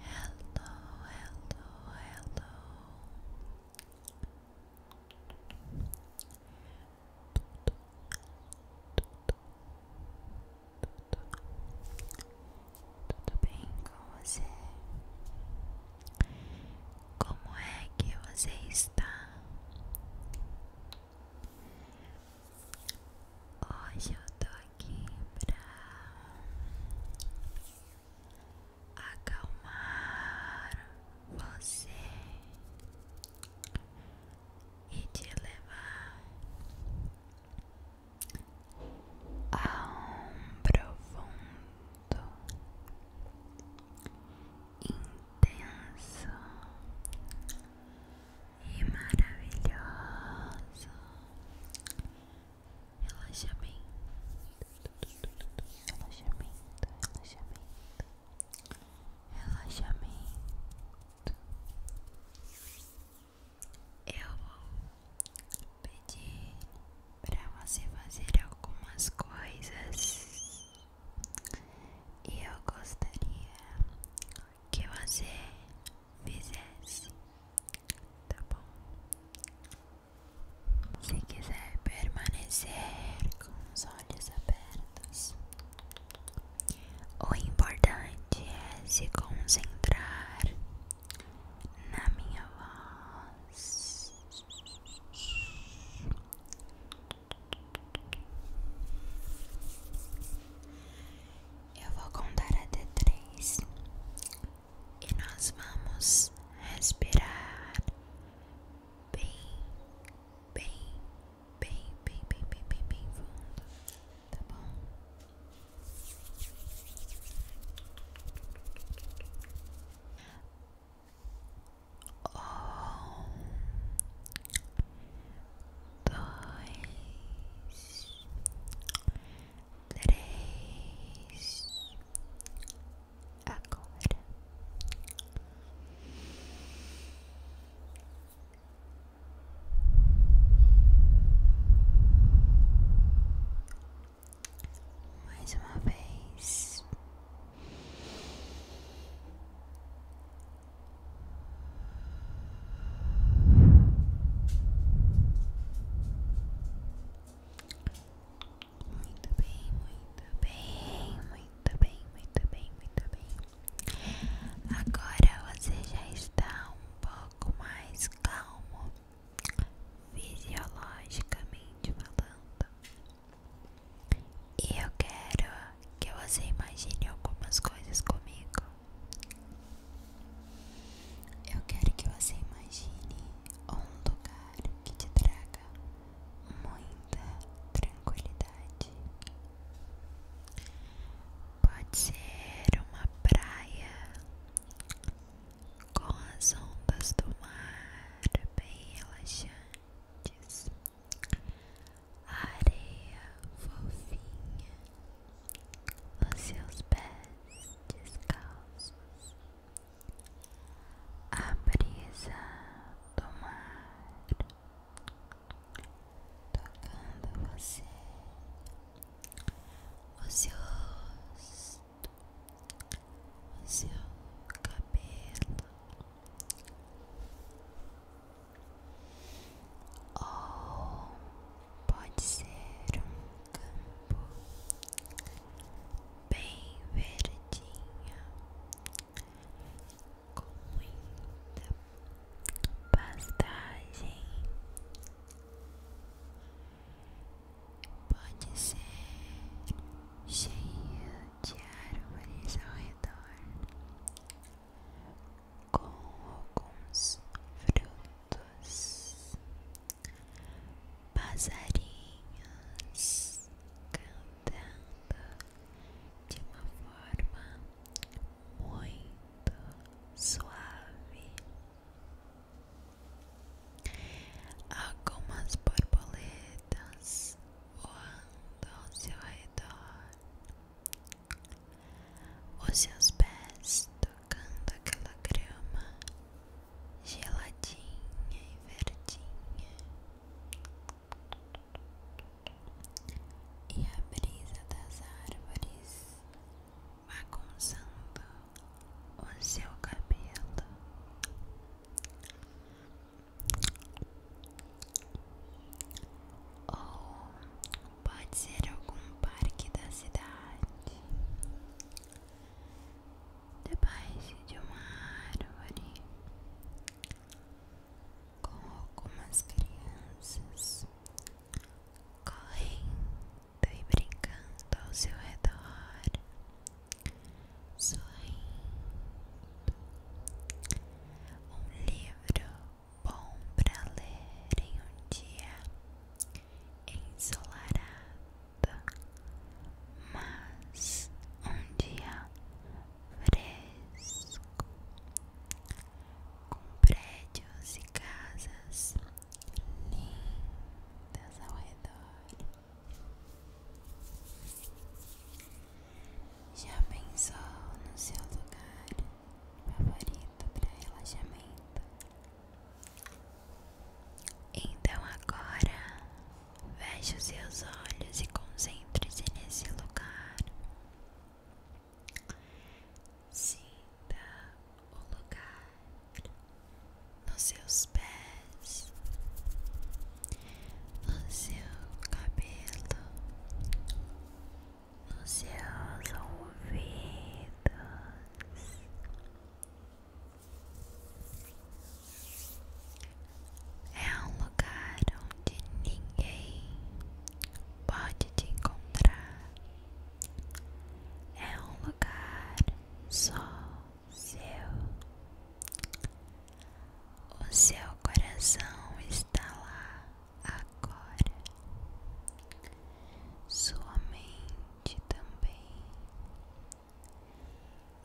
Hello, hello, hello. Tudo bem com você? Como é que você está? Hoje eu tô aqui pra acalmar você e te levar a um profundo, intenso e maravilhoso relaxamento, relaxamento, relaxamento, relaxamento. Eu vou pedir para você fazer algumas coisas e eu gostaria que você fizesse, tá bom? Se quiser permanecer com os olhos abertos, o importante é se concentrar na minha voz. Eu vou contar até três e nós vamos respirar bem, bem, bem, bem, bem, bem, bem, fundo, tá bom? Om dois, três, agora. Mais uma vez, muito bem, muito bem, muito bem, muito bem, muito bem. Agora você já está um pouco mais calmo, fisiologicamente falando. E eu quero que você imagine algumas coisas comigo. Eu quero que você imagine um lugar que te traga muita tranquilidade. Pode ser uma praia com as ondas do mar bem relaxantes areia fofinha nos seus pés descalços, a brisa do mar tocando você, o seu rosto, o seu cabelo ou pode ser um campo bem verdinho com muita pastagem. Pode ser cheio de árvores ao redor com alguns frutos, passarinhos cantando de uma forma muito suave, algumas borboletas voando ao seu redor. Os seus pés tocando aquela grama geladinha e verdinha, e a brisa das árvores bagunçando o seu cabelo ou pode ser algum parque da cidade, debaixo de uma árvore, com algumas crianças correndo e brincando ao seu redor, sorrindo. Um livro bom para ler em um dia ensolarado, mas um dia fresco, com prédios e casas lindas ao redor. Já pensou no seu lugar? favorito para relaxamento. Então agora veja os seus olhos e concentre-se nesse lugar. Sinta o lugar nos seus pés, no seu cabelo, nos seus ouvidos. É um lugar onde ninguém pode te encontrar. É um lugar só seu. O seu coração está lá agora. Sua mente também.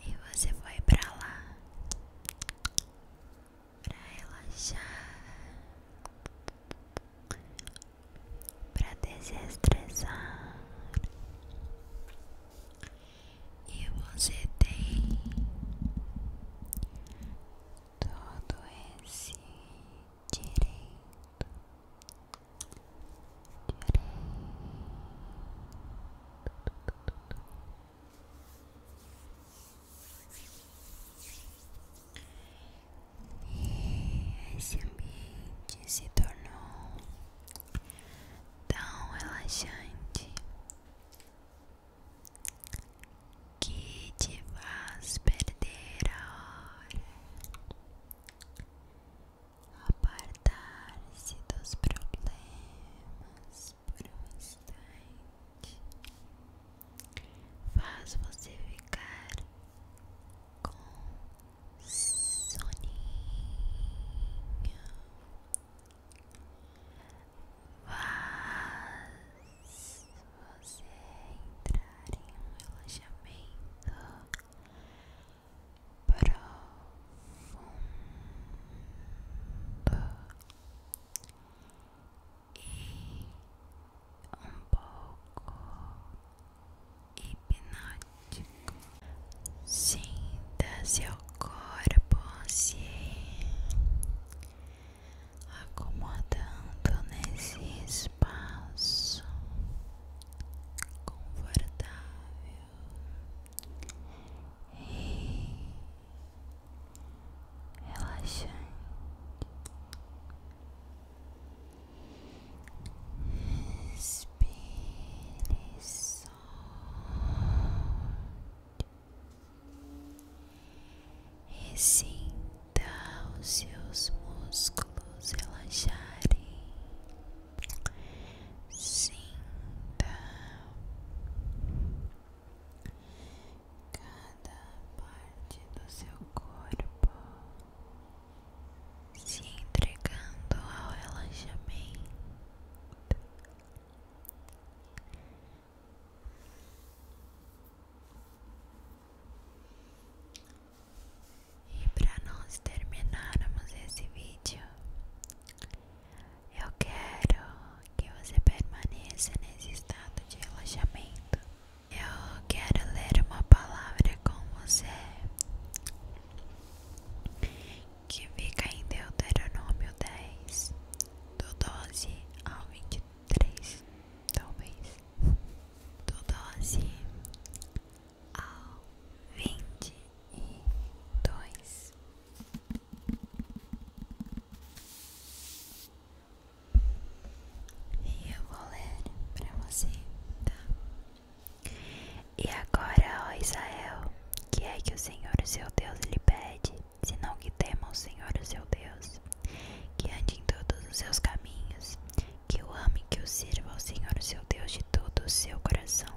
E você foi para lá para relaxar, para desestressar. E você tem todo esse direito, direito. E esse ambiente se tornou tão relaxante que te faz perder a hora, apartar-se dos problemas por um instante, faz você ficar com soninho faz você entrar em um relaxamento profundo e um pouco hipnótico. Sinta seu corpo se assim acomodando nesse espaço confortável e relaxante. Respire solte. E Ressinta os seus músculos relaxarem. Sinta cada parte do seu corpo se entregando ao relaxamento. E para nós terminarmos esse vídeo, eu quero que você permaneça nesse estado de relaxamento. Eu quero ler uma palavra com você que fica em Deuteronômio 10, do 12 ao três talvez, do doze ao vinte E dois e eu vou ler pra você, tá? E agora, ó Israel, que é que o Senhor, seu Deus, lhe pede? senão que tema o Senhor, seu Deus, que ande em todos os seus caminhos, que o ame, que o sirva ao Senhor, seu Deus, de todo o seu coração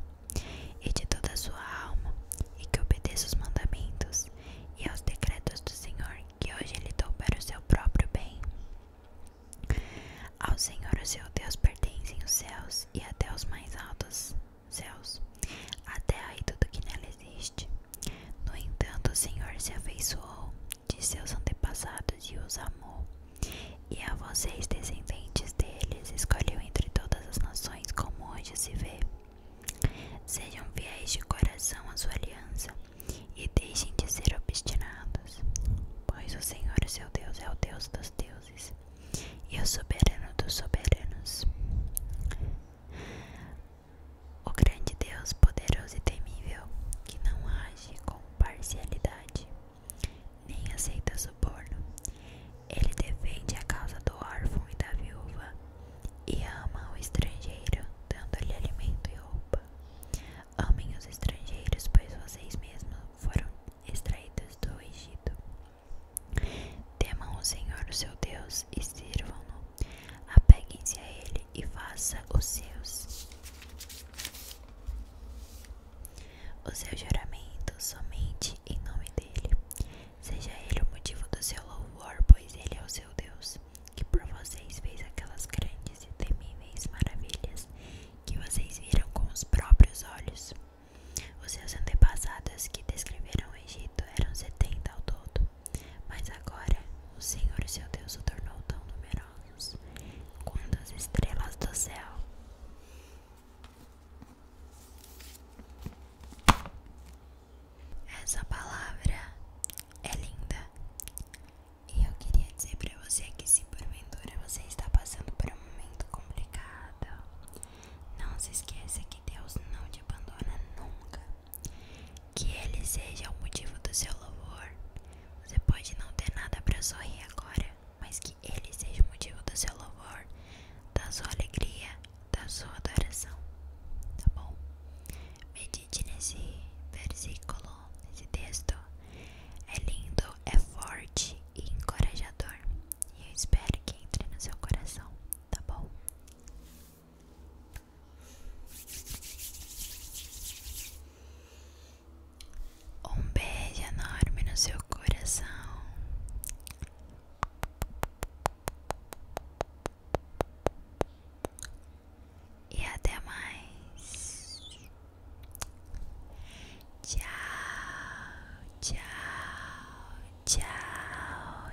e de toda a sua alma, e que obedeça os mandamentos e aos decretos do Senhor, que hoje lhe dou para o seu próprio bem. Ao Senhor, seu Deus, pertencem os céus e até os mais altos céus, a terra e tudo que nela existe. No entanto, o Senhor se afeiçoou de seus antepassados e os amou. E a vocês, descendentes deles, escolheu entre todas as nações, como hoje se vê. Sejam fiéis de coração à sua aliança e deixem de ser obstinados, pois o Senhor, seu Deus, é o Deus dos deuses e o soberano dos soberanos. O grande Deus, poderoso e temível, que não age com parcialidade, nem aceita suborno, ele defende a causa do órfão e da viúva, e ama o estrangeiro, dando-lhe alimento e roupa. Amem os estrangeiros, pois vocês mesmos foram extraídos do Egito. Temam o Senhor, seu Deus, Deus e sirvam-no. Apeguem-se a Ele e faça os seus. O seu juramento somente em nome dele. Seja ele o motivo do seu louvor, pois ele é o seu Deus, que por vocês fez aquelas grandes e temíveis maravilhas que vocês viram com os próprios olhos. Os seus antepassados que descreveram no Egito eram setenta ao todo, mas agora o Senhor seu Deus o tornou tão numerosos quanto as estrelas do céu. Essa palavra é linda e eu queria dizer para você que se porventura você está passando por um momento complicado, não se esqueça que Deus não te abandona nunca. Que Ele seja o motivo do seu louvor. Você pode não ter nada para sorrir agora, mas que Ele seja o motivo do seu louvor, da sua alegria, da sua adoração. Tá bom? Medite nesse versículo, nesse texto. É lindo, é forte e encorajador. E eu espero que entre no seu coração, tá bom? Um beijo enorme no seu coração. E até mais. Tchau, tchau, tchau,